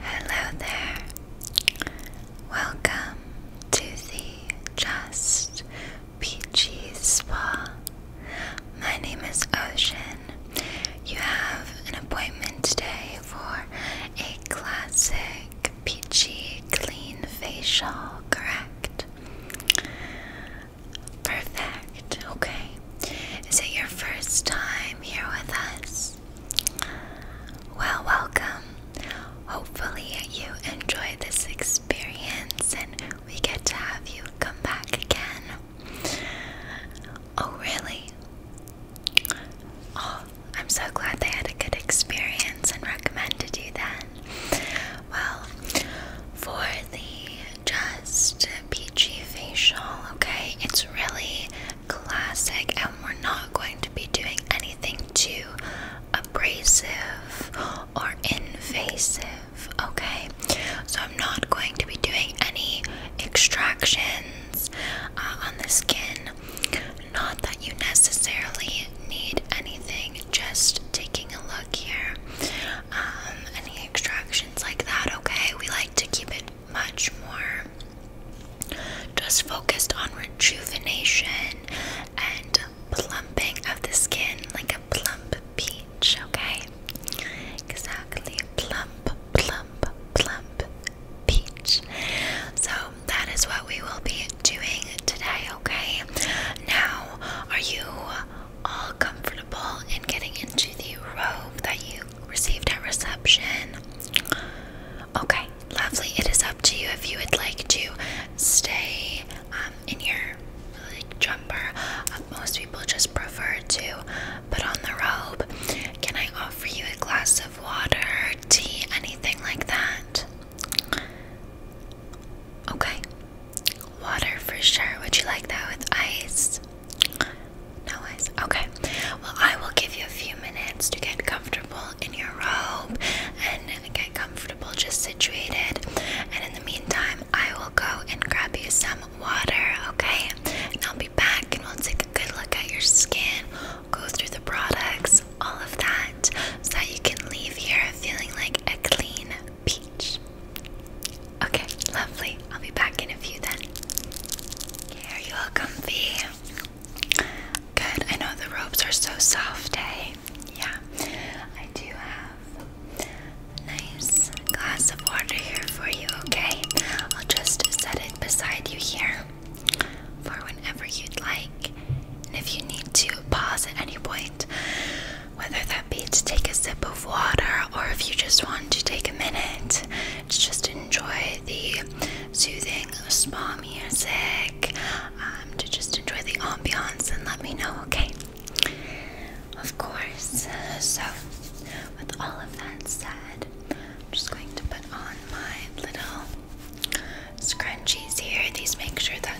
Hello there. Welcome to the Just Peachy Spa. My name is Ocean. You have an appointment today for a classic peachy clean facial, correct? Perfect. Okay. Is it your first time here with us? Well, welcome. Hopefully, you enjoy this experience and we get to have you come back again. Oh, really? Oh, I'm so glad they had a good experience and recommended you then. Well, for the just peachy facial, okay, it's really classic, and we're not going to be doing anything too abrasive or invasive, okay? So, I'm not going to be doing any extractions uh, on the skin. Not that you necessarily need anything, just taking a look here. Um, any extractions like that, okay? We like to keep it much more just focused on rejuvenation and plumping of the skin like a plump peach, okay? Exactly. Plump, plump, plump peach. So that is what we will be doing today, okay? Now, are you all comfortable in getting into the robe that you received at reception. Okay, lovely. It is up to you if you would like to stay um, in your jumper. Um, most people just prefer to put on the robe. Can I offer you a glass of water, tea, anything like that? Okay, water for sure. Would you like that with ice? No eyes. Okay. Well, I will give you a few minutes to get comfortable in your robe and get comfortable just situated. And in the meantime, I will go and grab you some water, okay? And I'll be back and we'll take a good look at your skin, go through the products, all of that, so that you can leave here feeling like a clean peach. Okay, lovely. I'll be back in a few then. Here, are you all comfy? Good. I know the robes are so soft, eh? Yeah. I do have nice glass of water here for you, okay? I'll just set it beside you here for whenever you'd like. And if you need to pause at any point, whether that be to take a sip of water or if you just want to take a minute it. Just enjoy the soothing spa music. Um, to just enjoy the ambiance and let me know, okay? Of course. So, with all of that said, I'm just going to put on my little scrunchies here. These make sure that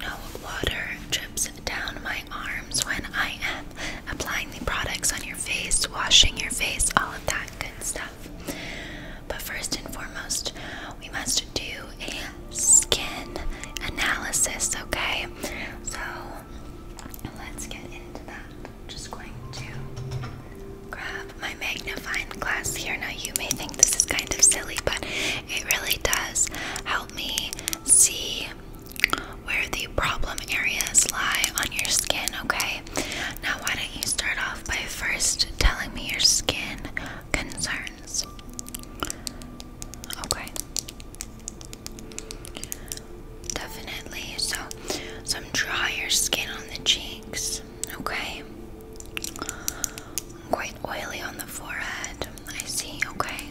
no water drips down my arms when I am applying the products on your face, washing your face, all of that good stuff. But first and foremost, we must do a skin analysis, okay? So let's get into that. I'm just going to grab my magnifying glass here. Now, you may think this is kind of silly, but it really does help me see where the problem areas lie on your skin, okay? now why don't you start off by first telling me your skin concerns? Okay. Definitely. So, some drier skin on the cheeks. Okay. Quite oily on the forehead. I see. Okay.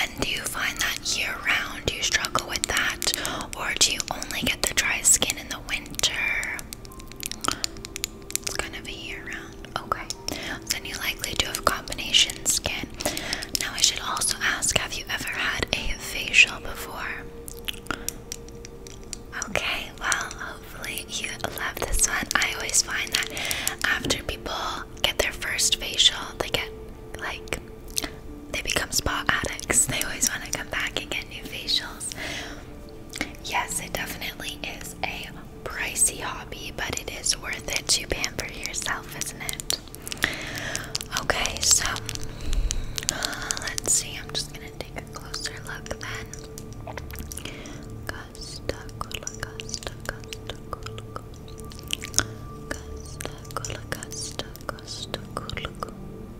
And do you find that year round you struggle with that? Or do you only get the dry skin in the winter? It's kind of a year round. Okay. Then you likely do have combination skin. Now, I should also ask have you ever had a facial before? Okay, well, hopefully you love this one. I always find that after people get their first facial, they get like they become spa addicts. They always want to come back and get new facials. Yes, it definitely is a pricey hobby, but it is worth it to pamper yourself, isn't it? Okay, so let's see. I'm just gonna take a closer look then.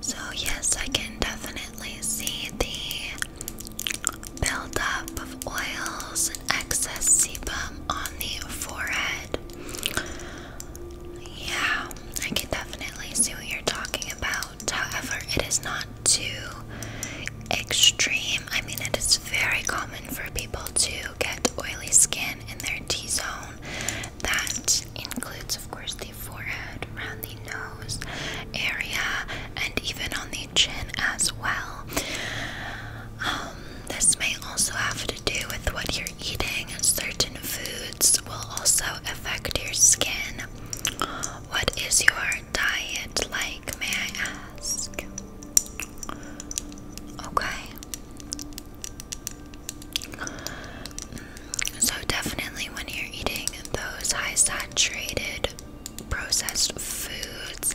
So, yes, I can definitely see the buildup of oils and excess sebum on the forehead. Yeah, I can definitely see what you're talking about. However, it is not too extreme. I mean, it is very common for people to get oily skin in their T zone. That includes, of course, the forehead, around the nose area, and even on the chin as well. Um, this may also have to do with what you're eating. Certain foods will also affect your skin. What is your diet like, may I ask? Okay. So, definitely when you're eating those high saturated processed foods,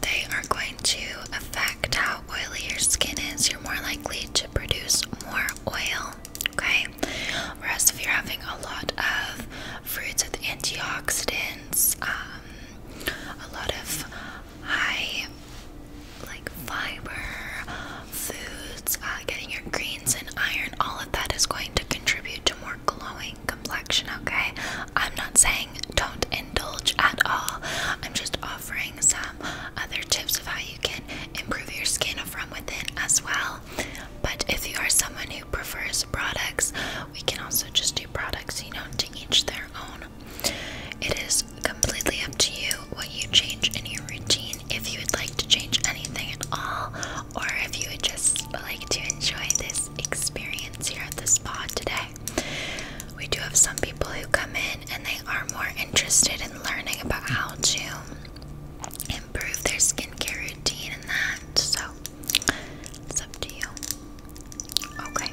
they are going to affect how oily your skin is. You're more likely to produce more oil. Okay. Whereas if you're having a lot of fruits with antioxidants, um, a lot of high like fiber foods, uh, getting your greens and iron, all of that is going to contribute to more glowing complexion. Okay, I'm not saying don't indulge at all. I'm just offering some other tips of how you can improve your skin from within as well. But if you are someone who prefers products, we can also just do products, you know, to each their own. It is completely up to you what you change in your routine, if you would like to change anything at all, or if you would just like to enjoy this experience here at the spa today. We do have some people who come in and they are more interested in learning about how to improve their skincare routine and that. So it's up to you. Okay.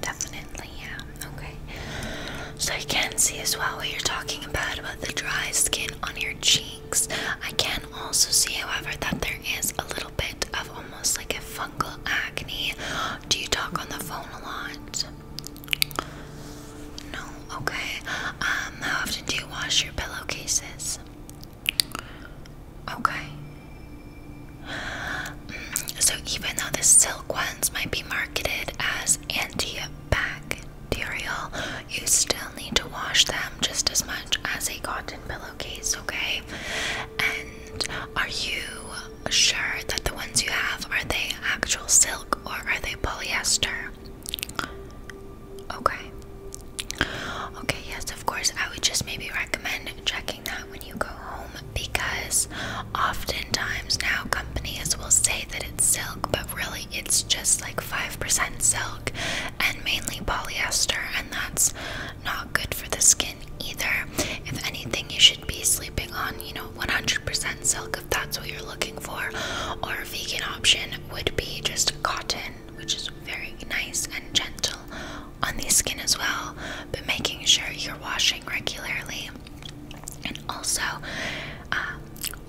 Definitely, yeah. Okay. So I can see as well what you're talking about about the dry skin on your cheeks. I can also see, however, that there is a little bit of almost like a fungal acne. Do you talk on the phone a lot? No okay. Um, how often do you wash your pillowcases? Okay. Mm, so even though the silk ones might be marketed as antibacterial, you still need to wash them just as much as a cotton pillowcase, okay? And are you sure that the ones you have are they actual silk or are they polyester? Okay. Okay, yes, of course. I would just maybe recommend checking that when you go home because oftentimes now companies will say that it's silk, but really it's just like 5% silk and mainly polyester, and that's not good for the skin either. If anything, you should be sleeping on, you know, 100% silk if that's what you're looking for, or a vegan option would be just cotton, which is very nice and gentle on the skin as well, but making sure you're washing regularly and also um,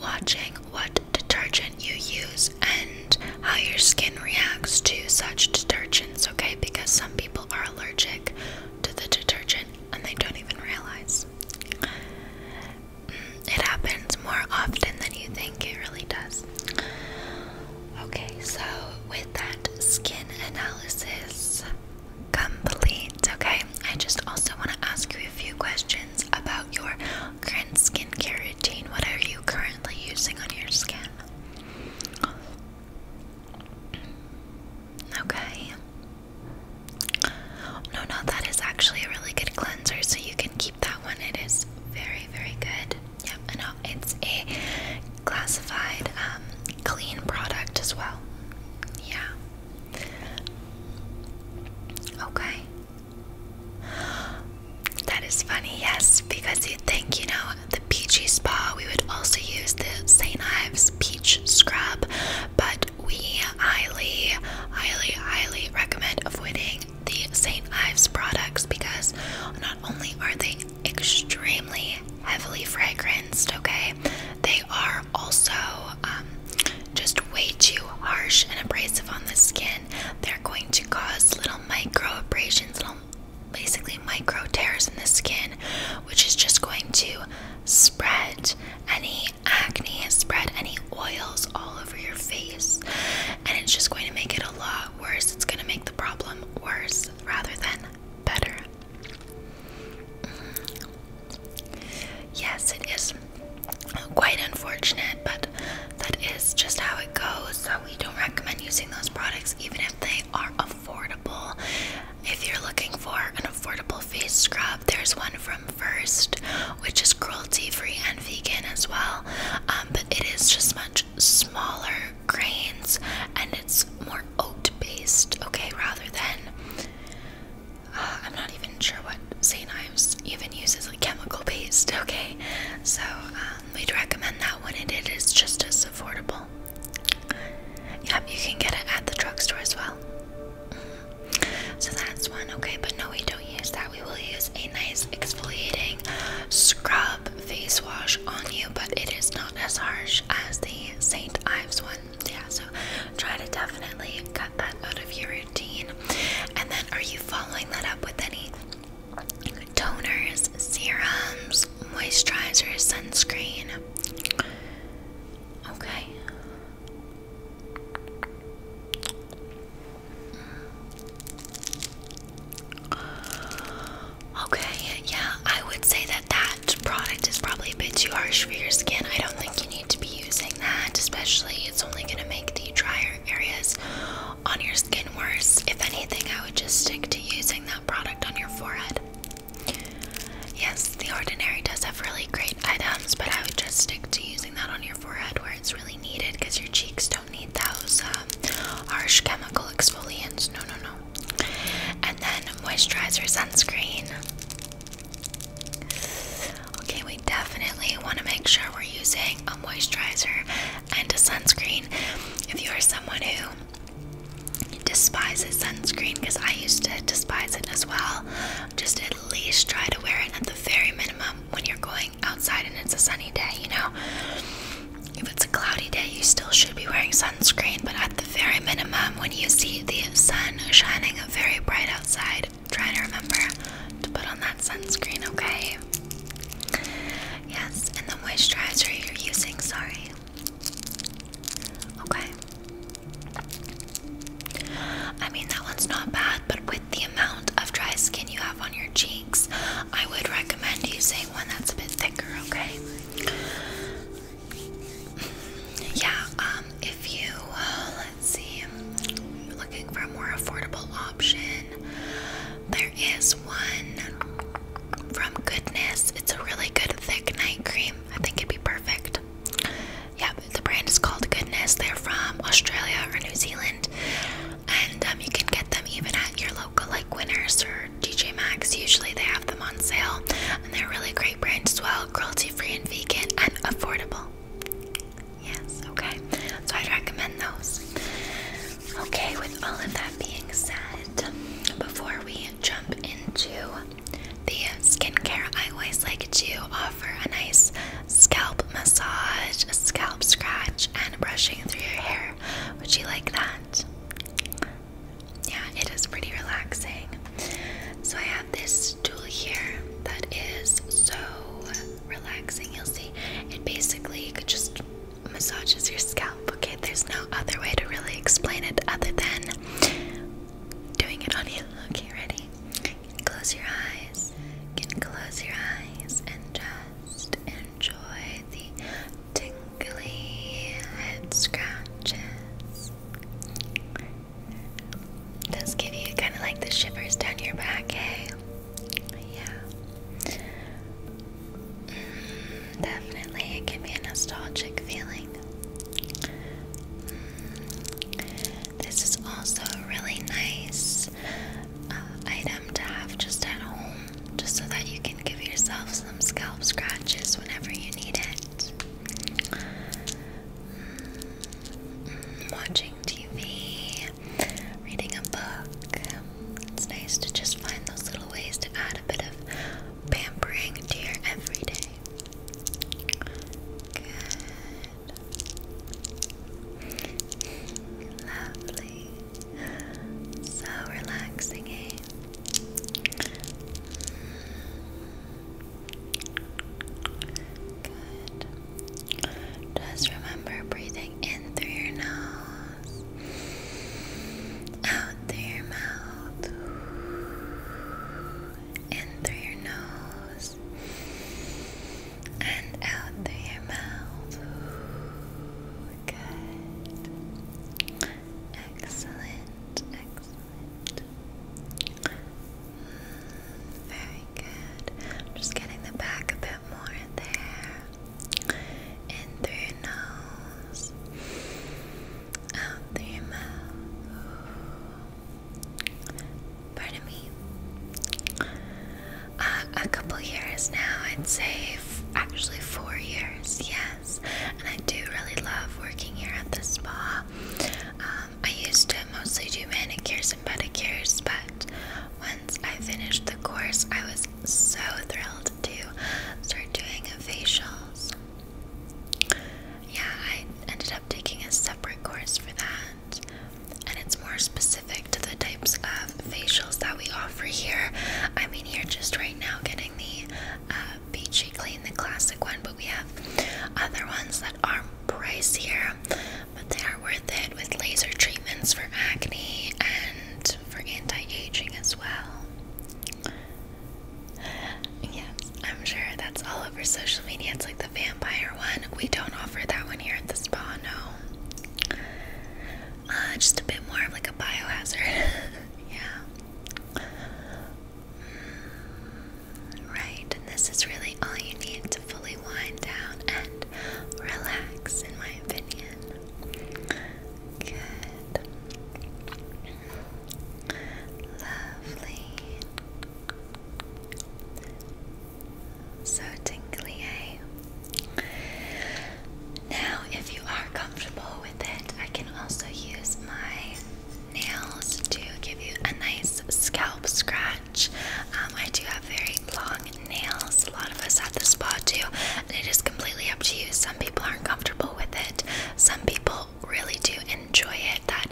watching what detergent you use and how your skin reacts to such detergents, okay? Because some people are allergic to the detergent and they don't even realize. It happens more often than you think, it really does. Okay, so with that skin analysis complete, okay, I just also want to ask you a few questions about your current skincare routine. What are you currently using on your skin? Okay. No, no, that is actually a really good so you can keep that one. It is very, very good. Yep, and uh, it's a classified um, clean product as well. Yeah. Okay. That is funny, yes, because you'd think, you know, the peachy spa, we would also use the St. Ives peach scrub, but we highly, highly, highly recommend avoiding the St. Ives products because not only are they extremely heavily fragranced, okay, they are also um, just way too harsh and abrasive on the skin. They're going to cause little micro abrasions, basically micro tears in the skin, which is just going to spread any Acne has spread any oils all over your face, and it's just going to make it a lot worse. It's going to make the problem worse rather than better. Mm-hmm. Yes, it is quite unfortunate, but that is just how it goes. So, we don't recommend using those products even if they are affordable. If you're looking for an affordable face scrub, there's one from first, which is cruelty free and vegan as well. Um, but it is just much smaller grains and it's more oat based, okay, rather than uh, I'm not even sure what St. Ives even uses like chemical based, okay. So, um, we'd recommend that one, it is just as affordable. Yep, you can get it at the drugstore as well. Mm-hmm. So that's one. Okay, but no, we don't use that. We will use a nice exfoliating scrub face wash on you, but it is not as harsh as the St. Ives one. Yeah, so try to definitely cut that out of your routine. And then, are you following that up with any toners, serums, moisturizers, sunscreen? Okay. Okay, yeah, I would say that that product is probably a bit too harsh for your skin. I don't think you need to be using that, especially it's only going to make the drier areas on your skin worse. If anything, I would just stick to using that product on your forehead. Yes, The Ordinary does have really great items, but I would just stick to using that on your forehead where it's really needed because your cheeks don't need those um, harsh chemical exfoliants. No, no, no. And then moisturizer sunscreen. Okay, we definitely want to make sure we're using a moisturizer and a sunscreen. If you are someone who despises sunscreen, because I used to despise it as well, just at least try to wear it at the very minimum when you're going outside and it's a sunny day, you know, if it's a cloudy day, you still should be wearing sunscreen, but at the very minimum, when you see the sun shining very bright outside, try to remember to put on that sunscreen, okay? Yes, and the moisturizer you're using, sorry. Okay. I mean, that one's not bad, but with the amount of dry skin you have on your cheeks, I would recommend using one that's a bit thicker, okay? Yeah, um, if you, uh, let's see, you looking for a more affordable option, there is one from Goodness. It's a really good thick night cream. I think it'd be perfect. Yep, the brand is called Goodness. They're from Australia or New Zealand, and um, you can get them even at your local like Winners or DJ Maxx. Usually they have them on sale, and they're a really great brand as well, cruelty-free and vegan and affordable. Yes, okay. So I'd recommend those. Okay, with all of that being said, before we jump into the skincare, I always like to offer a nice scalp massage, scalp scratch, and brushing through your hair. Would you like that? Yeah, it is pretty relaxing. So I have this tool here that is so relaxing. You'll see it basically you could just massages your scalp. Okay, there's no other way to really explain it other than doing it on you. Okay, ready? close your eyes. can close your eyes and just enjoy the tingly head scratches. Does give you kind of like the shivers down your back, eh? Yeah. Mm, definitely, it can be a nostalgic feeling. Mm, this is also really nice uh, item to have just at home, just so that you can give yourself some scalp scratches whenever you need it. Mm, watching TV, reading a book. It's nice to just find those little ways to add a bit of pampering to your everyday. Good. Lovely. So relaxing, eh? Good. Just remember breathing in through your nose, out through your mouth, in through your nose, and out through your mouth. Ooh, Excellent, excellent. very good. just getting the back a bit more in there. In through your nose. Out through your mouth. Pardon me. Uh, a couple years now, I'd say actually four years, yes. And I do really love working here at the spa. Um, I used to mostly do manicures and pedicures, but once I finished the course, I was so thrilled to start doing facials. Yeah, I ended up taking a separate course for that. And it's more specific to the types of facials that we offer here. I mean, you're just right now getting the Beachy uh, Clean, the classic one, but we have other ones that are pricier, but they are worth it with laser treatments for acne and for anti-aging as well. Yes, I'm sure that's all for social media. It's like the vampire one. We don't offer that one here at the spa, no. Uh, just a bit more of like a biohazard. yeah. Mm, right, this is really all you need to fully wind down and relax, in my opinion. Good. Lovely. So tingly, eh? Now, if you are comfortable with it, I can also use my nails to give you a nice scalp scratch. Um, I do have very long nails. A lot of us at the spa do, it is completely up to you. Some people aren't comfortable with it. Some people really do enjoy it. That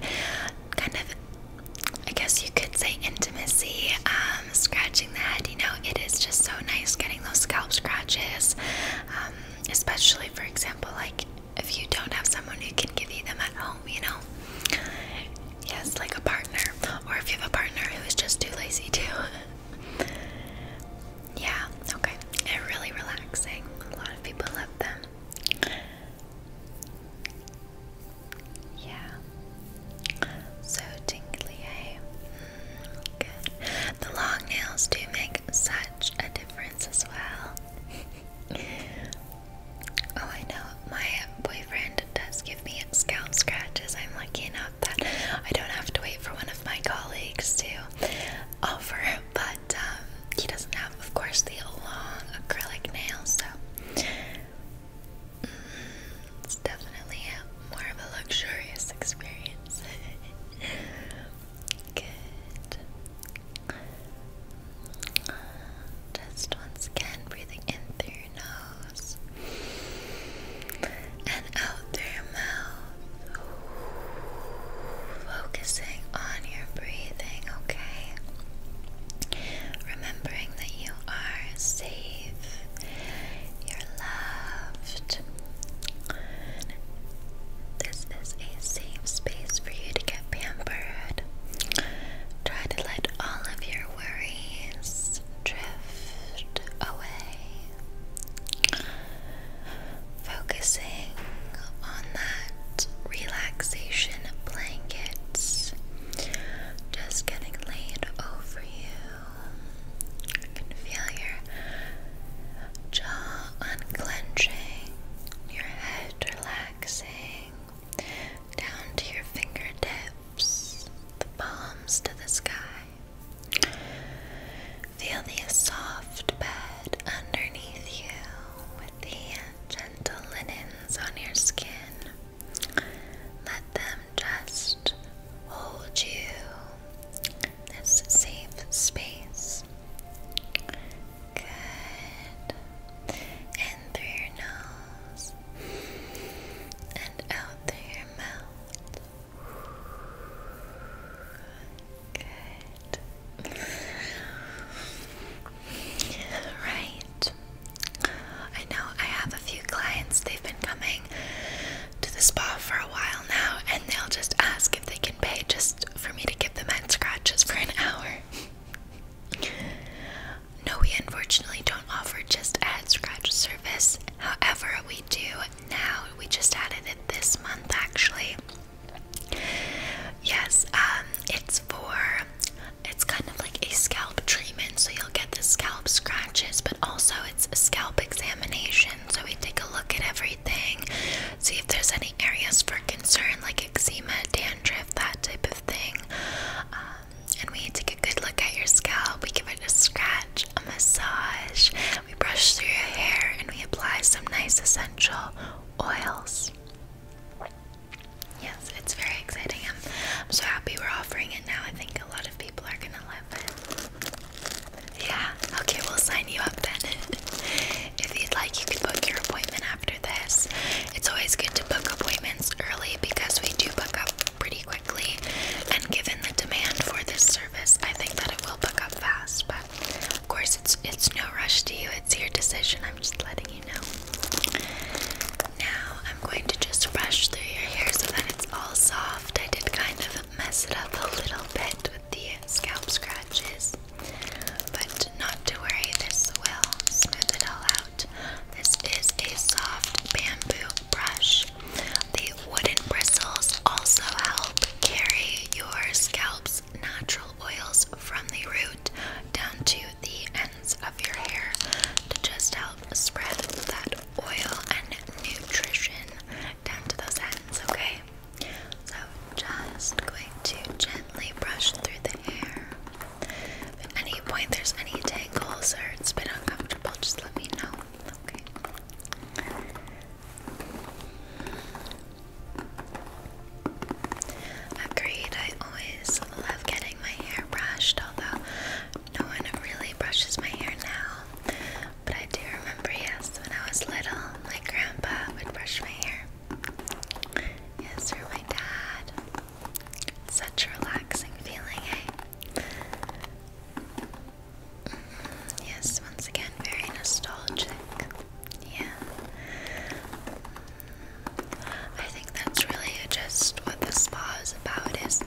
kind of I guess you could say intimacy, um, scratching the head. You know, it is just so nice getting those scalp scratches, um, especially for example, like if you don't have someone who can give you them at home, you know. Yes, like a partner, or if you have a partner who is just too lazy to. yeah, okay. It's really relaxing. A lot of people love them. Yeah. So tingly, hey. Mm, good. The long nails do make such a difference as well. oh, I know. My boyfriend does give me scalp scratches. I'm lucky enough that I don't have to wait for one of my colleagues to offer, but um, he doesn't have, of course, the long acrylic nails, so it's definitely a, more of a luxurious experience. Good. Just once again, breathing in through your nose and out through your mouth. Focusing on your breathing, okay? Remembering that you are safe, you're loved. This is a safe space for you to get pampered. Try to let all of your worries drift away. Focusing on that relaxation blanket just getting laid over you. feel your jaw unclenching, your head relaxing, down to your fingertips, the palms to the sky. Feel the soft bed underneath you with the gentle linens on your skin. Let them just hold you. This safe space. Good. In through your nose and out through your mouth. Good. Right. I know I have a few clients, they've been coming to the spa for a while now, and they'll just ask if they can pay just for me to give them head scratches for an hour. no, we unfortunately don't offer just a head scratch service. However, we do now. We just added it this month actually. Yes, um, it's it's for it's kind of like a scalp treatment, so you'll get the scalp scratches, but also it's a scalp examination. So we take a look at everything, see if there's any areas for concern like eczema, dandruff, that type of thing. Um, and we take a good look at your scalp, we give it a scratch, a massage, we brush through your hair, and we apply some nice essential oils. Yes, it's very exciting. I'm, so happy we're offering it now. I think a lot of people are gonna love it. Yeah, okay, we'll sign you up then. if you'd like, you can book your appointment after this. It's always good to book appointments early because we do book up pretty quickly. And given the demand for this service, I think that it will book up fast. But of course, it's it's no rush to you. It's your decision. I'm just letting you know. Now I'm going to just brush through your hair so that it's all soft. I did kind of mess it up a little bit with the scalp scratches, but not to worry, this will smooth it all out. This is a soft bamboo brush. The wooden bristles also help carry your scalp's natural oils from the root down to the ends of your hair to just help spread that oil and nutrition down to those ends, okay? So, just going to gently brush through the hair. at any point there's any tangles or it's been uncomfortable, just let me know, okay? Agreed, I always love getting my hair brushed, although no one really brushes my hair now. But I do remember, yes, when I was little, my grandpa would brush my hair. Yes, or my dad. Such a relaxing feeling, eh? Mm-hmm. yes, once again, very nostalgic. Yeah. I think that's really just what the spa is about is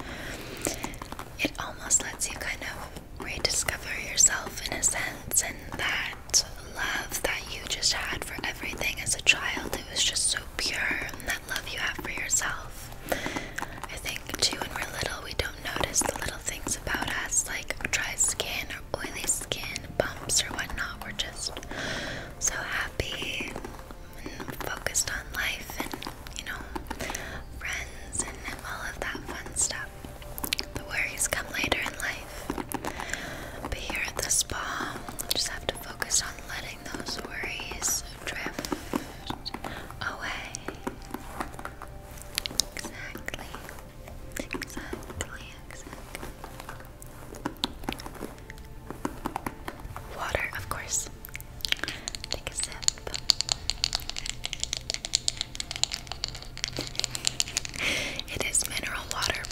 it almost lets you kind of rediscover yourself in a sense and that love that you just had for everything as a child it was just so pure and that love you have for yourself I think too when we're little we don't notice the little things about us like dry skin or oily skin bumps or whatnot we're just so happy focused on life and, you know, friends and all of that fun stuff. The worries come later in life. But here at the spa, we just have to focus on letting those worries drift away. Exactly. Exactly, exactly. Water, of course. Take a sip. it is mineral water,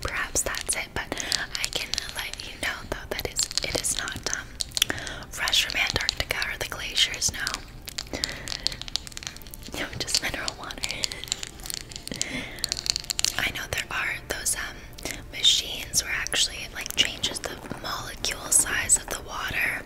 perhaps that's it, but I can let you know though that is it is not um, fresh from Antarctica or the glaciers, no. No, just mineral water. I know there are those um machines where actually it like changes the molecule size of the water.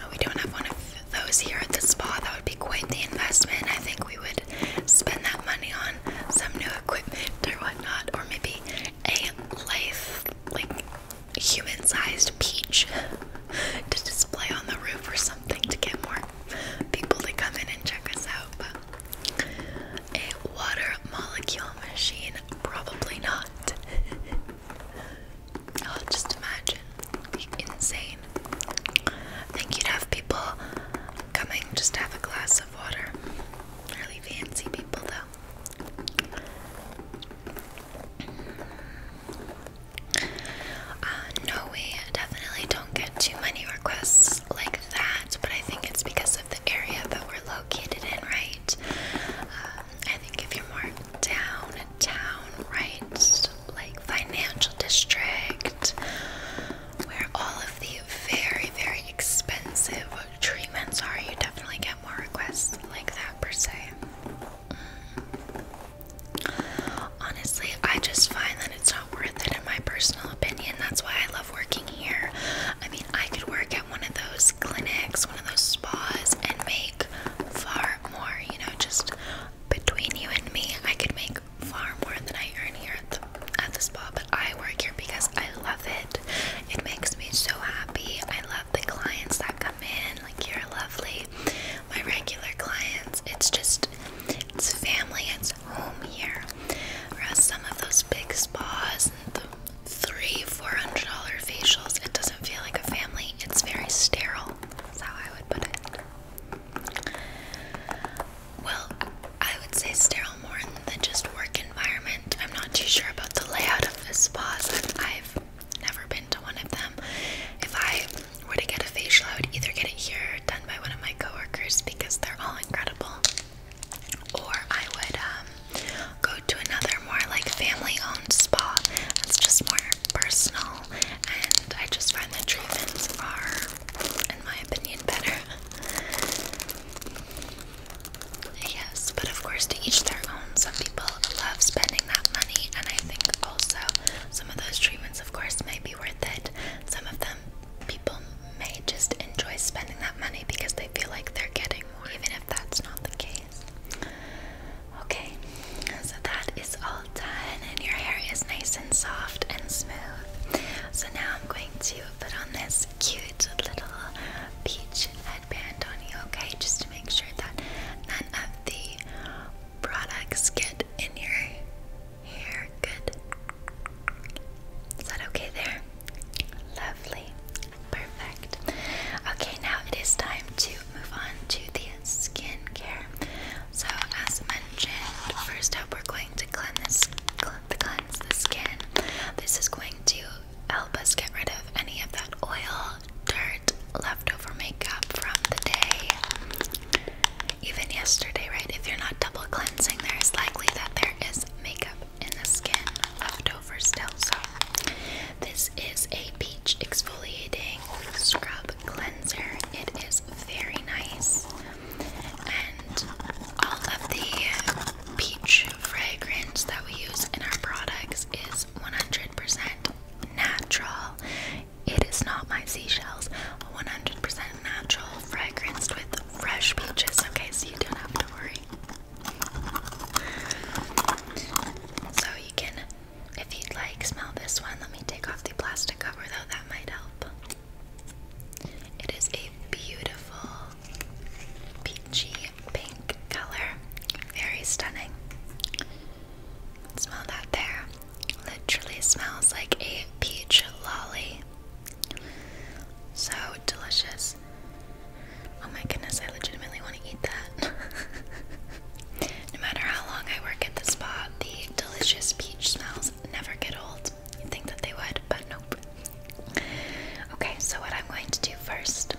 No, we don't have one of those here at the spa. That would be quite the investment. I think we would spend that money on some new equipment or whatnot, or maybe a life like human-sized peach to display on the roof or something to get more people to come in and check us out. A water molecule machine? Probably not. oh, just imagine. Insane. think you'd have people coming just to have a glass of water. Really fancy people, though. Uh, no, we definitely don't get too many requests like that, but I think it's because of the area that we're located in, right? Um, I think if you're more downtown, right, like financial district, where all of the very, very expensive treatments are, you definitely get more requests like that, per se. Mm. Honestly, I just find that it's not worth it in my personal opinion. That's why I love working here. I mean, I could work at one of those clinics, one of those spas, and make far more, you know, just between you and me, I could make far more than I earn here at the, at the spa, but I work here because I love it. It makes me so happy. I love the clients that come in, like you're lovely. My regular clients, it's just, it's family, it's his home here. Whereas some of those big spas and the three, four hundred dollar facials, it doesn't feel like a family. It's very sterile. That's how I would put it. Well, I would say sterile more than just work environment. I'm not too sure about the layout of the spas. I've never been to one of them. If I were to get a facial, I would either get it here or done by one of my coworkers because they're all incredible. Or I would um, go to another more like family owned spa that's just more personal, and I just find the treatments are, in my opinion, better. yes, but of course, to each their own. Some people love spending that money, and I think also some of those treatments, of course, might be worth it. Some of them people may just enjoy spending that money because they feel like they're getting more, even if that's not the case. Okay, so that is all done, and your hair is nice and soft and smooth. So now I'm going to put on this cute little peach headband on you, okay? Just to make sure that none of the products get in your here, Good. Is that okay there? Lovely. Perfect. Okay, now it is time to move on to the skincare. So, as mentioned, first up, we're going to cleanse, cleanse the skin. This is going to help us get rid of any of that oil, dirt, leftover makeup from the day even yesterday, right? If you're not double cleansing, there is likely that there is makeup in the skin left over still. So, this is a peach exfoliating scrub cleanser. It is very nice, and all of the peach fragrance that we use in our products is 100% natural. It is not my seashells. 100% natural, fragranced with fresh peaches, okay, so you don't have to worry. So you can, if you'd like, smell this one. Let me take off the plastic cover though, that might help. It is a beautiful peachy pink color. Very stunning. Smell that there. Literally smells like a peach lolly. So delicious. Oh my goodness, I legitimately want to eat that. no matter how long I work at the spa, the delicious peach smells never get old. You'd think that they would, but nope. Okay, so what I'm going to do first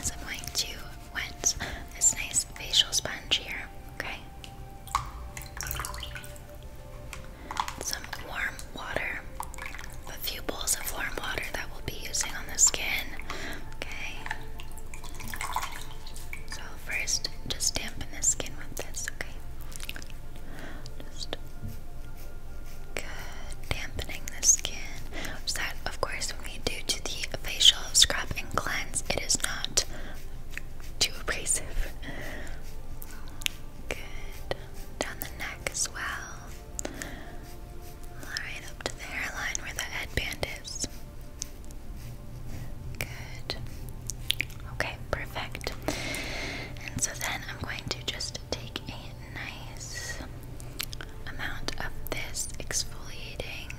is I'm going to wet this nice facial sponge here, okay? some warm water, a few bowls of warm water that we'll be using on the skin. Okay. So, first, just dampen the skin with this, okay? Just Dampening the skin. So, that, of course, when we do to the facial scrub and cleanse, it is not too abrasive. Good. Down the neck as well. Right up to the hairline where the headband is. Good. Okay, perfect. And so then I'm going to just take a nice amount of this exfoliating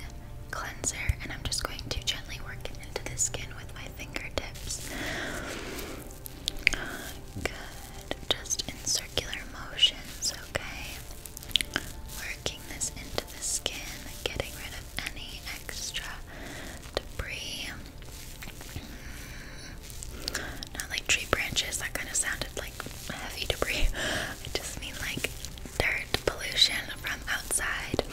cleanser and I'm just going to gently work it into the skin with my fingertips. Good. Just in circular motions, okay? Working this into the skin, getting rid of any extra debris. Hmm. Not like tree branches, that kind of sounded like heavy debris. I just mean like dirt pollution from outside.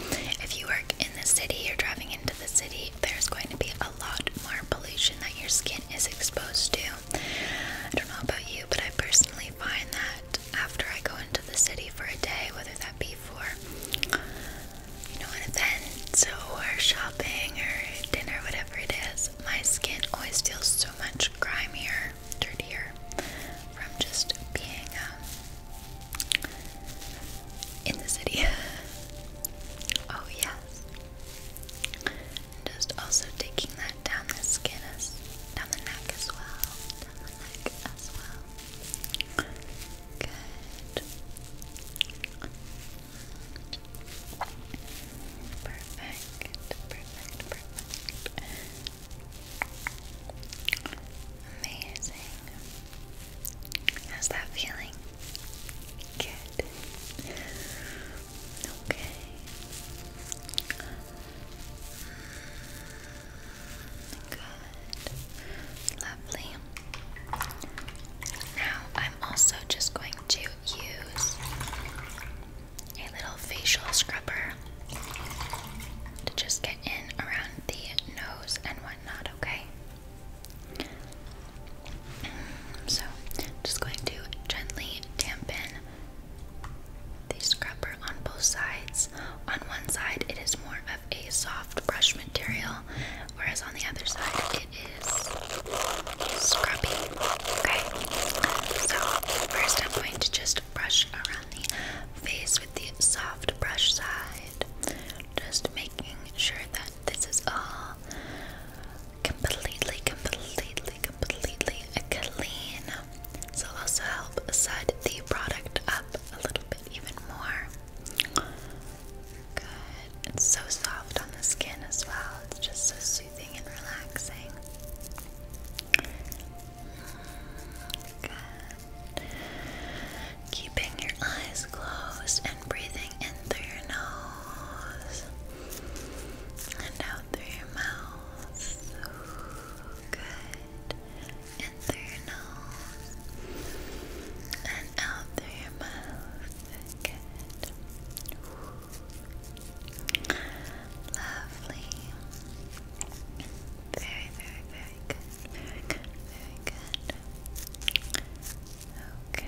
If you work in the city, you're driving into the city, there's going to be a lot more pollution that your skin is exposed to. I don't know about you, but I personally find that after I go into the city for a day, whether that be for you know an event or shopping or dinner, whatever it is, my skin always feels so much grimier, dirtier from just being um, in the city. oh, yes. just also taking that down the skin, as, down the neck as well. Down the neck as well. Good. Perfect. Perfect. Perfect. Amazing. How's that feeling? Good. Okay. Good. Lovely. Now I'm also just going to use a little facial scrubber to just get in around the nose and whatnot, okay? So, just going to gently dampen the scrubber on both sides. On one side, it is more of a soft brush material, whereas on the other side, it is scrubby. Okay, so first, I'm going to just brush around the face with the soft brush side, just making sure that this is all completely, completely, completely clean. So will also help set the product up a little bit even more. Good. It's so soft on the skin as well. It's just so soothing and relaxing. Mm, good keeping your eyes closed and breathing in through your nose and out through your mouth. Ooh, good. In and out through your mouth. Good. Lovely. Very, very, very good. Very good. Very good. Okay.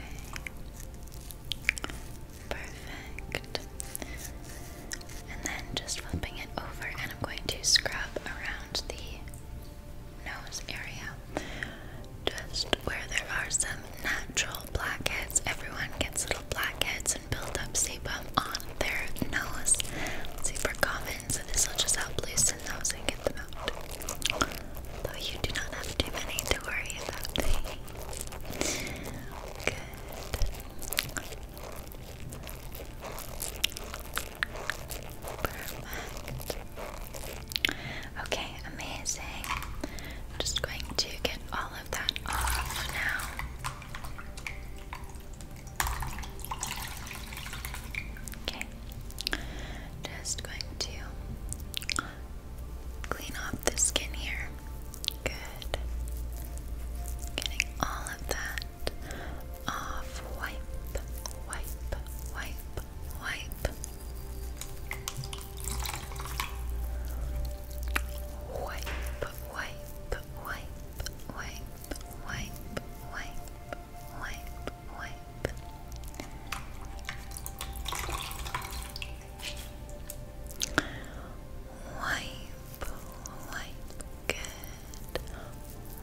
Perfect. And then just flipping it over, and I'm going to scrub around the nose area. Just where there are some natural blackheads. Everyone gets little blackheads and build up sebum on their nose. super common, so this will just help loosen in those and get them out. Though you do not have too many to worry about. Good. Okay, amazing. I'm just going to get all of that off now. Okay, just going to clean off the skin here. Good. Getting all of that off. Wipe, wipe, wipe, wipe. Wipe, wipe, wipe, wipe, wipe, wipe, wipe, wipe wipe, wipe, good,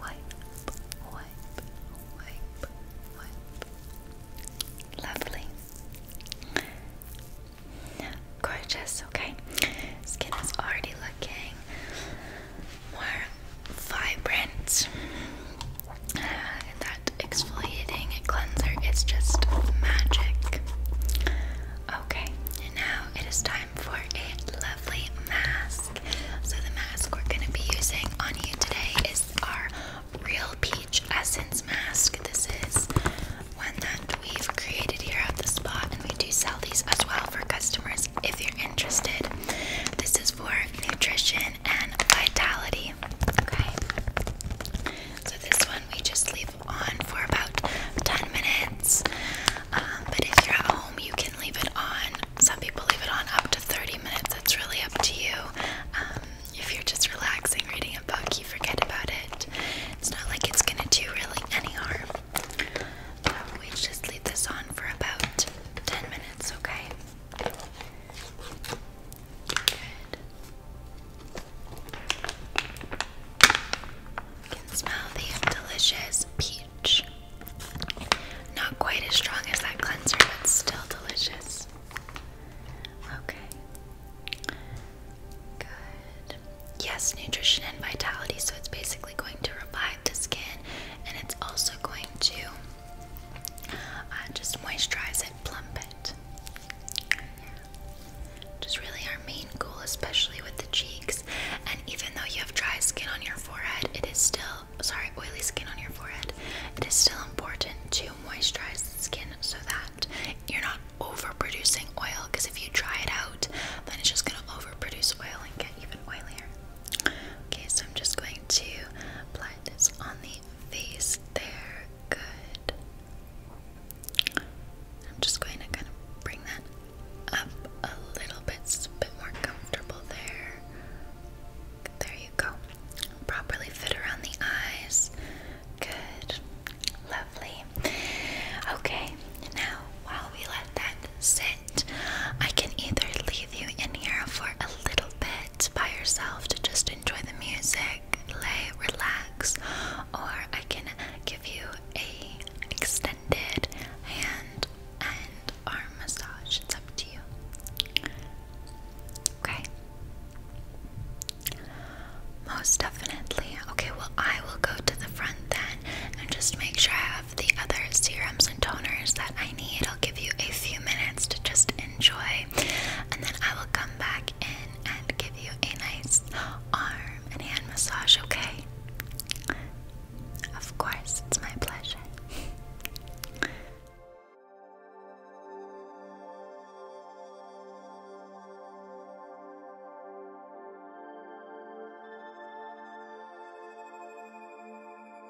wipe, wipe, wipe, wipe, lovely. Gorgeous, okay. Skin is already looking more vibrant that exfoliating cleanser is just magic. Okay, now it is time for a lovely mask. So, the mask we're going to be using on you today is our Real Peach Essence Mask. This is one that we've created here at the spot, and we do sell these as well for customers if you're interested. This is for nutrition and vitality. Okay. So this one we just leave on for about 10 minutes. Um, but if you're at home, you can leave it on. Some people leave it on up to 30 minutes. It's really up to you. Um, if you're just relaxing, reading a book, you forget about it. It's not like it's gonna do really any harm. we just leave this on for about 10 minutes, okay? can smell the delicious peach. Not quite as strong as that cleanser, but still delicious. Okay. Good. Yes, nutrition and vitality, so it's basically going to revive the skin and it's also going to just moisturize it, plump it. Just really our main goal, especially with the cheeks. And even though you have dry skin on your forehead, it is still, sorry, oily skin on your forehead, it is still important to moisturize the skin so that you're not overproducing oil. Because if you dry it out, then it's just going to overproduce oil and get even oilier. Okay, so I'm just going to apply this on the face there. Good. I'm just going to kind of bring that up a little bit, a bit more comfortable there. There you go. Properly fit around the eyes. Good. Lovely. Okay, now while we let that sit, I can either leave you in here for a little bit by yourself to just enjoy the music, lay, relax, or I can give you a extended hand and arm massage. It's up to you. Okay. Most definitely. Okay, well I will go to the front then and just make sure I have the other serums and toners that I need I'll give you a few minutes to just enjoy, and then I will come back in and give you a nice arm and hand massage, okay? Of course, it's my pleasure.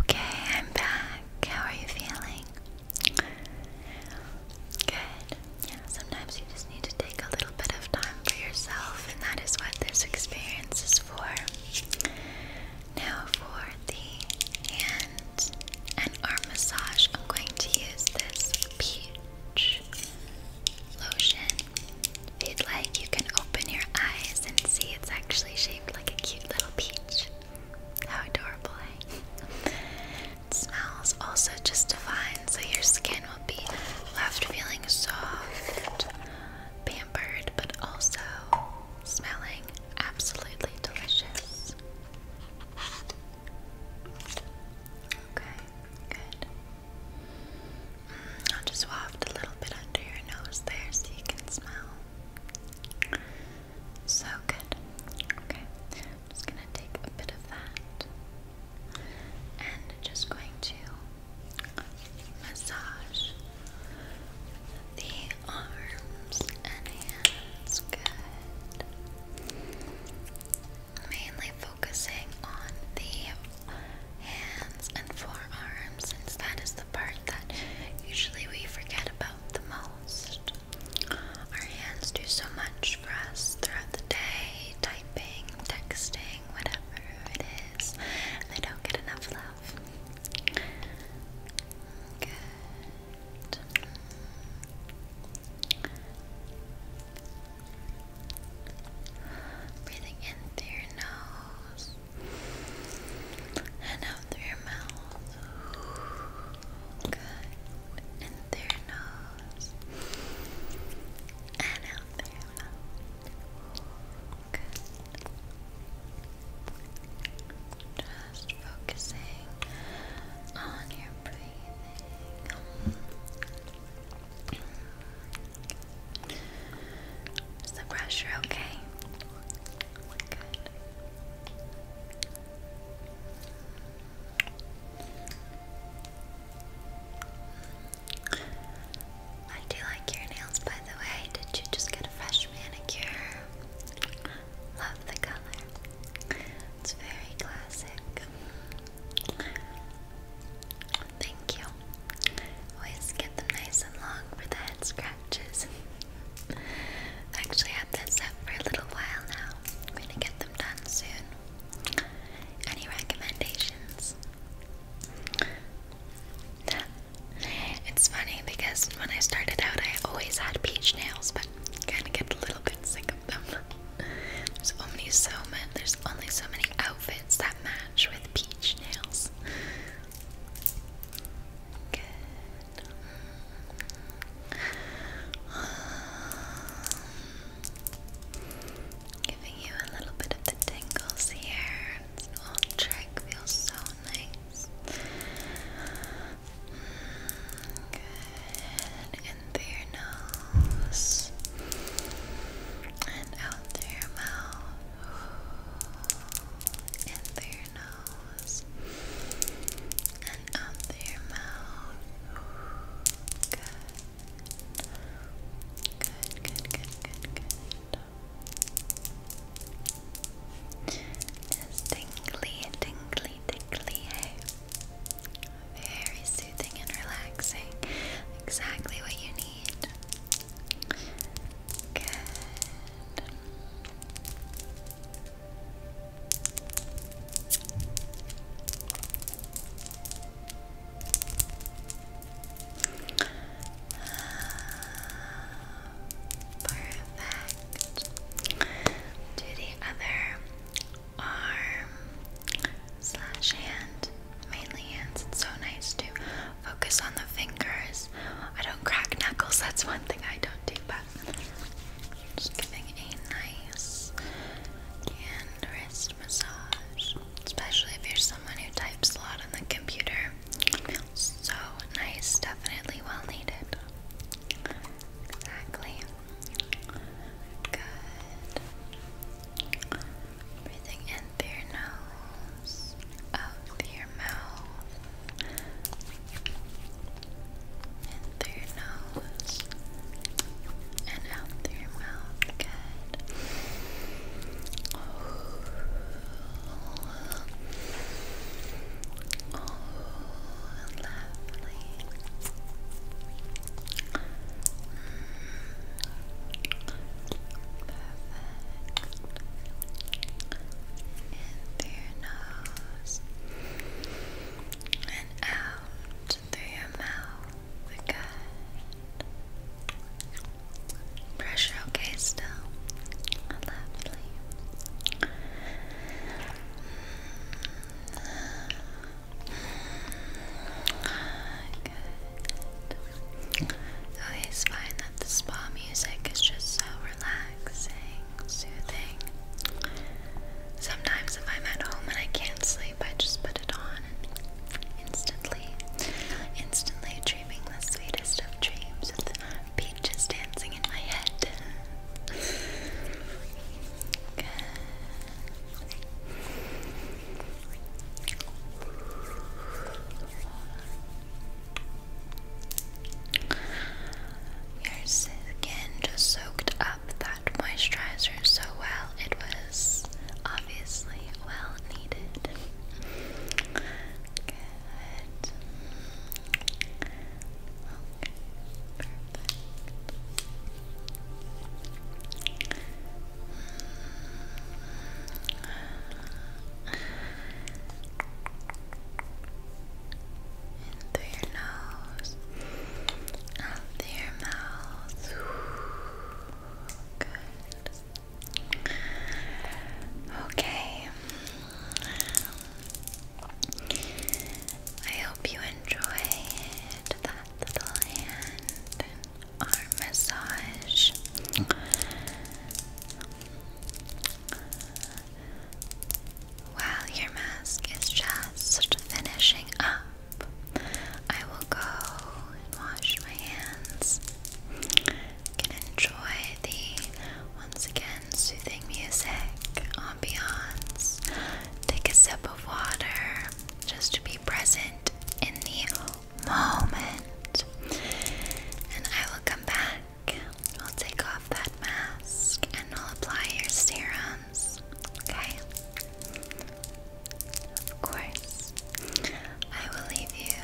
Okay, I'm back. How are you feeling? Good. sometimes you just need to take a little bit of time for yourself, and that is what this experience is for. Now, for the hand and arm massage, I'm going to use this peach lotion. If you'd like, you can open your eyes and see it's actually shaped like a cute little peach. How adorable, eh? It smells also just divine, so your skin will be left feeling soft, pampered, but also smelling absolutely delicious. Okay, good. I'll just waft a little bit under your nose there so you can smell. So good. Okay, just gonna take a bit of that and just going to massage the arms and hands. Good. Mainly focusing on the hands and forearms since that is the part that usually we forget about the most. Our hands do so much for us throughout the day, typing, texting, whatever it is, and they don't get enough love. Good. Breathing in through your nose and out through your mouth. Good. In through your nose and out through your mouth. Good. Just focusing on your breathing the pressure okay? I do like your nails, by the way. Did you just get a fresh manicure? Love the color. It's very classic. Thank you. Always get them nice and long for the head scratches. Actually, had this up for a little while now. I'm gonna get them done soon. Any recommendations? it's funny because when I started out, I always had peach nails, but kind of get a little bit sick of them. There's only so many. outfits that match with peach nails. Giving you a little bit of the tingles here. This little trick feels so nice. Good in through nose and out through mouth. In through nose and out through mouth. Good. Good, good, good, good, good. It's tingly, very soothing and relaxing. Exactly what you need. Good. Um, perfect. Do the other arm slash hand, mainly hands. It's so nice to focus on the fingers. I don't crack knuckles, that's one thing I don't do, but just giving a nice hand wrist massage, especially if you're someone who types a lot on the computer. So nice, definitely well needed. Exactly. Good. Breathing in through your nose, out through your mouth. In through your nose, and out through your mouth. Good. Oh, lovely through your nose and out through your mouth again. Pressure okay still. Lovely. Good. Always that the spa music is just so relaxing, soothing. Sometimes, if I'm at home and I can't sleep, I just put it on and instantly, instantly dreaming the sweetest of dreams with peaches dancing in my head. Your skin just soaked up that moisturizer so well, it was obviously well needed through your nose, out through your mouth. Good. Okay. I hope you enjoy to that little hand arm massage. While your mask is just finishing up, I will go and wash my hands. You can enjoy the once again soothing music, ambiance. Take a sip of water just to be present it in the moment. And I will come back. I'll take off that mask and I'll apply your serums. Okay? Of course. I will leave you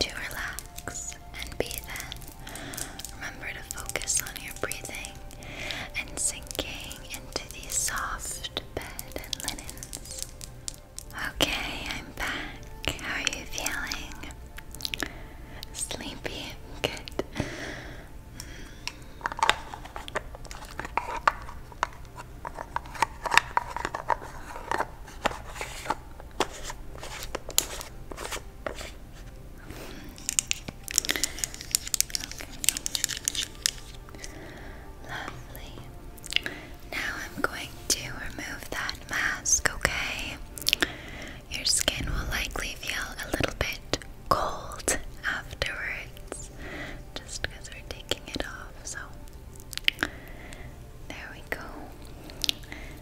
to relax and breathe in. Remember to focus on your breathing and sinking into the soft, Okay, I'm back. How are you feeling? Sleepy? Good. Okay. Lovely. Now I'm going to remove that mask, okay? Your skin will likely feel a little bit cold afterwards just because we're taking it off. So, there we go.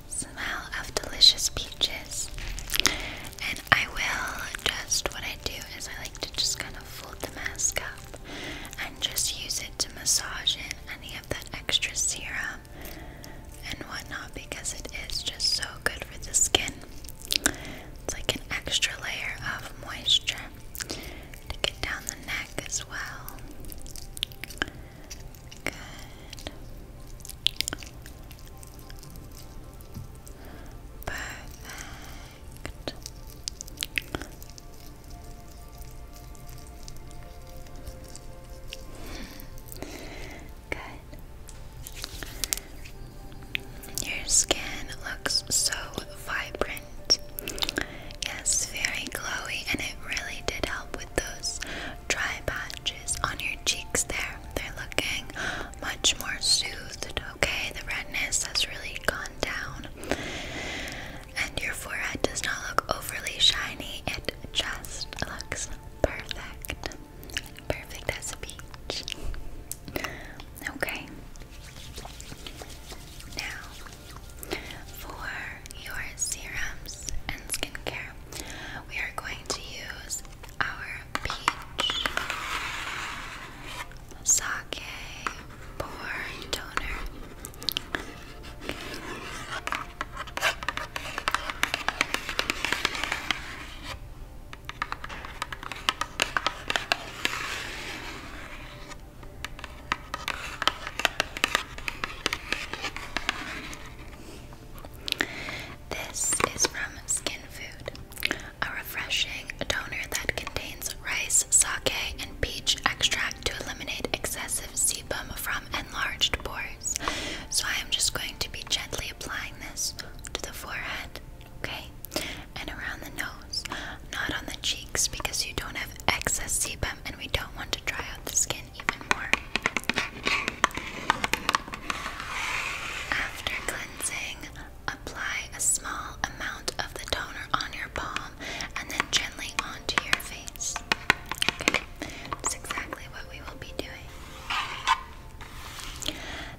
Smell of delicious peaches. And I will just what do is I like to just kind of fold the mask up and just use it to massage in any of that extra serum and whatnot because it is just so good for the skin. It's like an extra layer of moisture to get down the neck as well. Good. Perfect. Your skin looks so vibrant. Yes, very glowy, and it really did help with those dry patches on your cheeks there. They're looking much more soothed okay? The redness has really gone down. And your forehead does not look overly shiny, it just looks perfect. Perfect as a peach. Okay. Now, for your serums and skincare, we are going to use our peach sake pour toner. This is from Skin Food. A refreshing toner that contains rice, sake, and peach extract to eliminate excessive sebum from enlarged pores. So I am just going to be gently applying this to the forehead, okay? And around the nose, not on the cheeks because you don't have excess sebum and we don't want to dry out the skin even more. After cleansing, Apply a small amount of the toner on your palm and then gently onto your face. Okay, that's exactly what we will be doing.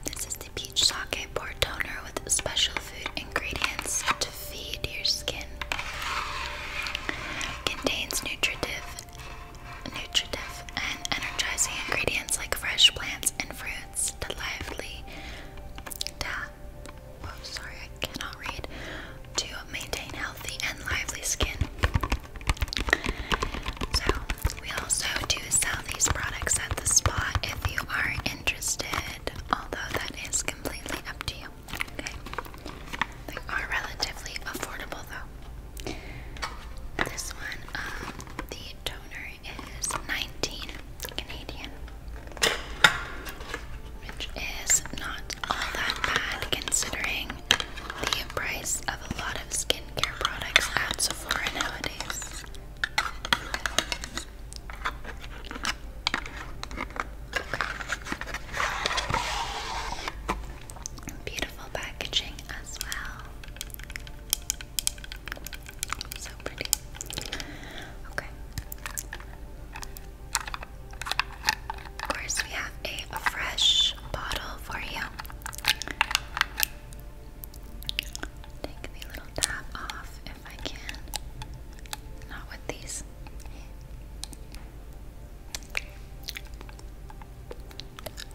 This is the peach sake pore toner with special food ingredients to feed your skin. Contains nutritive, nutritive and energizing ingredients like fresh plants and fruits. To maintain healthy and lively skin. So, we also do sell these products at the spa if you are interested, although that is completely up to you. Okay? They are relatively affordable though. This one, um, the toner is 19 Canadian, which is not all that bad considering the price of a lot of skincare products at Sephora nowadays. Beautiful packaging as well. Of course, we have a fresh bottle for you. Take the little tab off if I can. Not with these.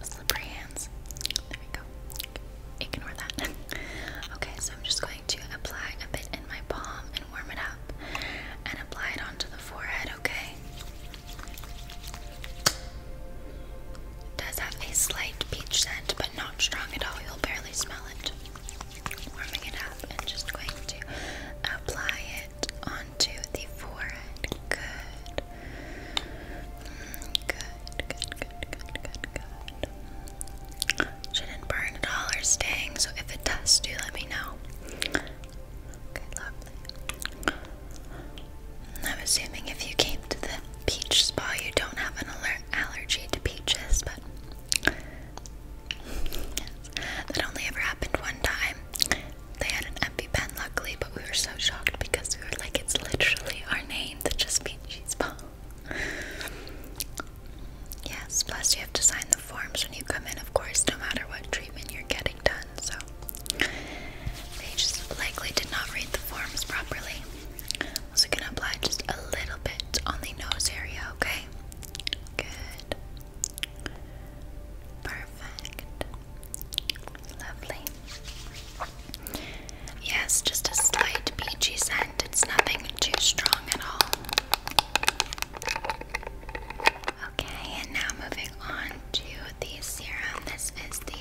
Slippery hands. There we go ignore that. okay, so I'm just going to apply a bit in my palm and warm it up and apply it onto the forehead, okay? does have a slight peach scent, but not strong at all. You'll barely smell it. Warming it up and just going to apply it onto the forehead. good, mm, good, good, good, good, good. Shouldn't burn at all or sting, so if it does, do let me know. Okay, lovely. I'm assuming if you came to the peach spa, you don't have an aller allergy to peaches, but. That only ever happened one time. They had an EpiPen, luckily, but we were so shocked because we were like, it's literally our name, the Just Peachy Spa. Yes, plus you have to sign the forms when you come in, of course, no matter what treatment you're getting done. So they just likely did not read the forms properly. Also, gonna apply just a little bit on the nose area, okay? Good. Perfect. Lovely. Yes, just a slight peachy scent. It's nothing too strong at all. Okay, and now moving on to the serum. This is the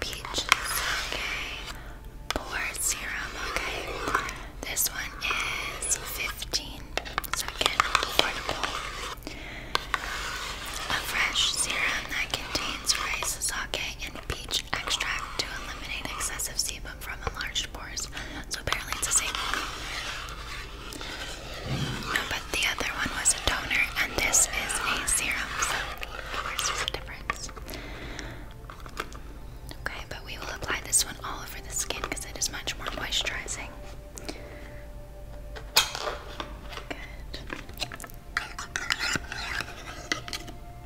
Peach Sake Pore Serum. Okay, this one is 15, so again, affordable. A fresh serum that contains rice sake and peach extract to eliminate excessive sebum from enlarged pores. So apparently it's the same. No, but the other one was a toner, and this is a serum. So of course there's a difference. Okay, but we will apply this one all over the skin because it is much more moisturizing. Good.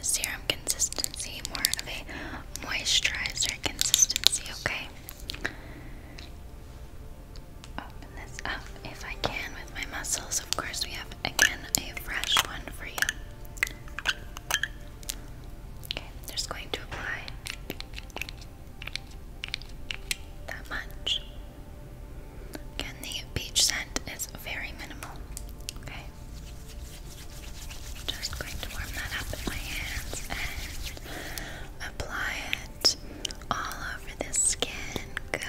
serum consistency, more of a moisturizer consistency, okay? Open this up if I can with my muscles. Of course, we have again a fresh one for you. Okay, i just going to apply that much. Again, the peach scent is very minimal. Okay. Just going to warm that up in my hands and apply it all over the skin. Good.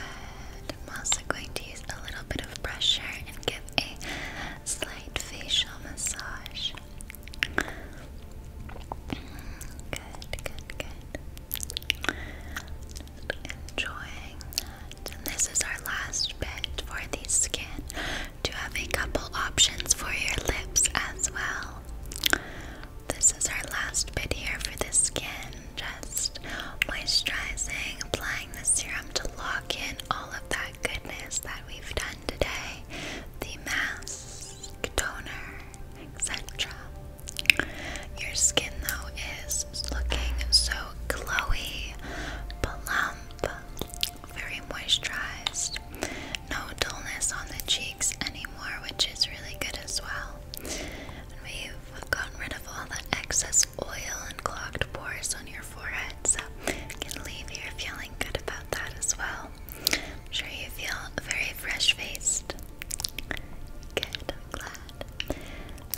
I'm also going to use a little bit of pressure and give a slight facial massage. Good, good, good. Enjoying that. And this is our last bit for the skin to have a couple options for your lips as well. This is our last bit here for the skin. Just moisturizing, applying the serum to lock in all of that goodness that we've done today. The mask, toner, etc. Your skin though is looking so glowy, plump, very moisturized. No dullness on the cheeks anymore, which is really good as well. And we've gotten rid of all the excess oil and clogged pores on your forehead, so you can leave you feeling good about that as well. I'm sure you feel very fresh faced. Good, glad.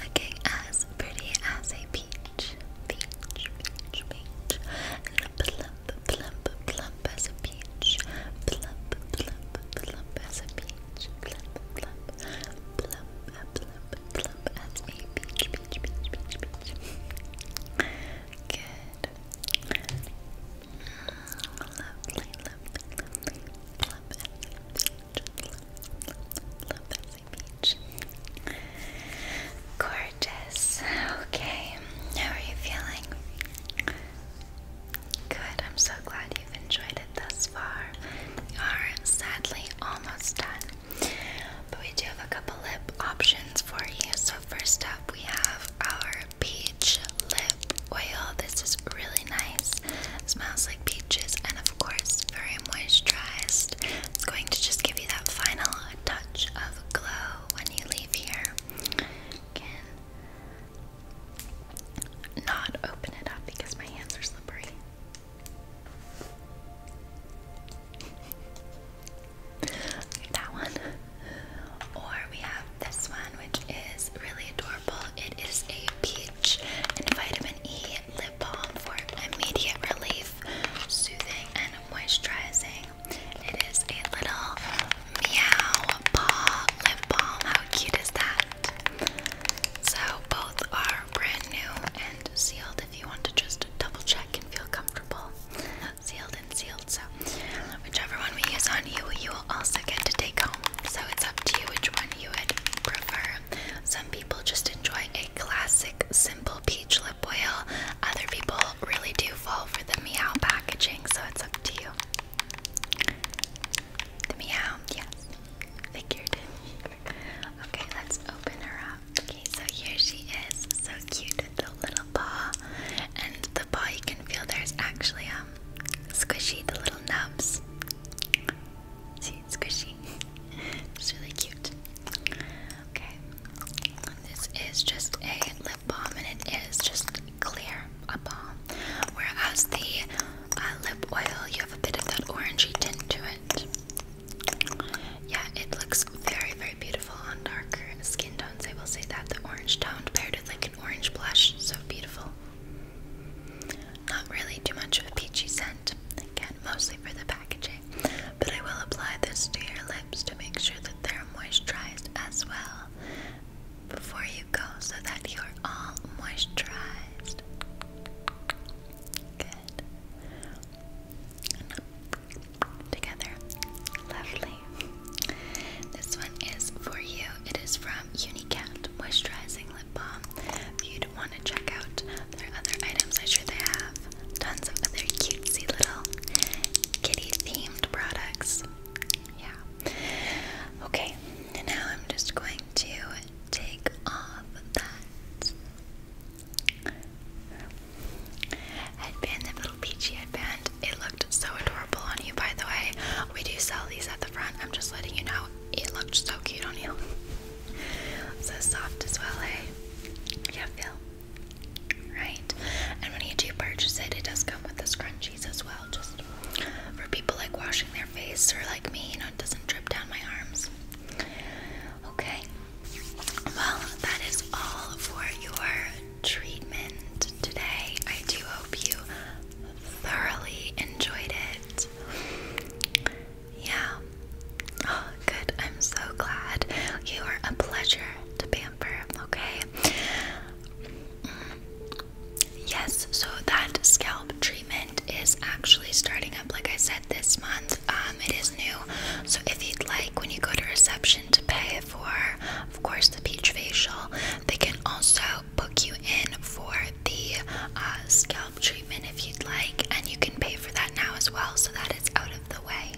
Looking as pretty as a peach peach, peach, peach, peach, and plump, plump, plump as a peach, plump, plump, plump as a peach, plump, plump, plump, plump, plump as a peach, peach, peach, peach, peach. Good. Lovely, lovely, lovely, plump as a peach, beach. Gorgeous. Okay, how are you feeling? Good, I'm so glad you've enjoyed it thus far. We are sadly almost done, but we do have a couple lip options for you. So, first up, we have our peach lip oil. This is really nice, smells like peaches, and of course, very moisturized. It's going to just give you that final touch of glow when you leave here. can not open it up because my hands are slippery. that one. Or we have this one, which is really adorable. It is a peach and vitamin E Lip Balm for immediate relief, soothing, and moisturizing. It is a little meow paw lip balm. How cute is that? So, both are brand new and sealed if you want to just double check and feel comfortable. Sealed and sealed. So, whichever one we use on you, you will also get to take home. So, it's up to you which one you would prefer. Some people just enjoy a classic, simple peach lip oil. Other people really do fall for the meow packaging, so it's up to you. The meow, yes. Figured. Okay, let's open her up. Okay, so here she is. So cute with the little paw. And the paw you can feel there's actually um squishy the little nubs. See, it's squishy. it's really cute. Okay, this is just a lip balm and it is just clear, a balm. Whereas the uh, lip oil, you have a bit of that orangey tint to it. Yeah, it looks very, very beautiful on darker skin tones. I will say that the orange toned paired with like an orange blush, so beautiful. Not really too much of a peachy scent. Again, mostly for the packaging, but I will apply this to your lips to make sure that they're moisturized as well before you go so that you're all moisturized. Good. Together. Lovely. This one is for you. It is from Unicat Moisturizing Lip Balm. you'd want to check out there are other items I'm sure they have. Tons of other cutesy little kitty themed products. Yeah. Okay, now I'm just going to take off that headband, that little peachy headband. It looked so adorable on you, by the way. We do sell these at the front. I'm just letting you know it looked so cute on you. So soft as well, hey. Eh? Yeah, feel. Right? And when you do purchase it, it does come with the scrunchies as well, just for people like washing their face or like me, you know, it doesn't drip down my arms. Okay. Well, that is all for your treatment today. I do hope you thoroughly enjoyed it. Yeah. Oh, good. I'm so glad. You are a pleasure to pamper, okay? Mm. Yes, so that scalp treatment is actually starting up, like I said, this month. Um, it is new. So if you'd like, when you go to reception to pay for, of course, the peach facial, they can also book you in for the uh, scalp treatment if you'd like, and you can pay for that now as well. So that it's out of the way.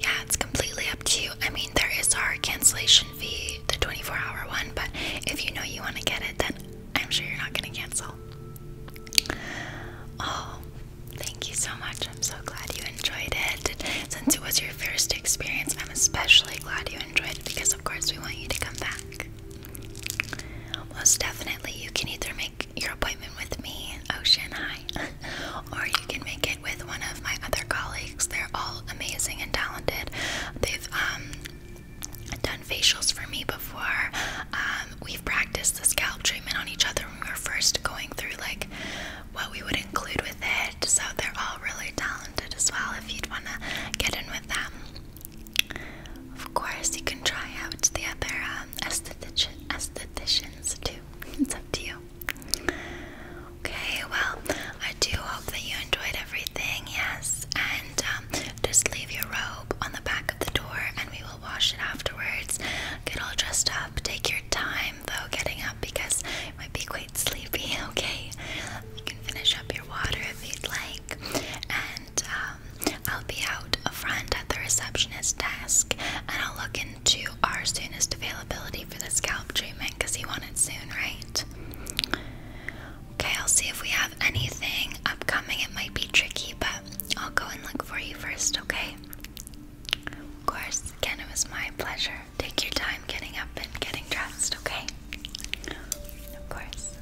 Yeah, it's completely up to you. I mean, there is our cancellation fee, the 24 hour one, but if you know you want to get it, then I'm sure you're not going to cancel. Oh, thank you so much. I'm so glad you enjoyed it. Since it was your first experience, I'm especially glad you enjoyed it because, of course, we want you to come back. Most definitely, you can either make your appointment with me, Ocean High, or you can make it with one of my other colleagues. They're all amazing and talented. They've um, done facials for me before. Um, we've practiced the scalp treatment on each other when we were first going through like what we would include with it. So they're all really talented as well. If you'd wanna get in with them, of course you can try out the other. Uh, um, aestheticians too. It's up to you. Okay, well, I do hope that you enjoyed everything, yes. And um, just leave your robe on the back of the door and we will wash it afterwards. Get all dressed up. Take your time, though, getting up because you might be quite sleepy, okay? You can finish up your water if you'd like. And um, I'll be out front at the receptionist desk and I'll look into our soonest availability for the scalp treatment because you want it soon, right? Okay, I'll see if we have anything upcoming. It might be tricky, but I'll go and look for you first, okay? Of course, again, it was my pleasure. Take your time getting up and getting dressed, okay? Of course.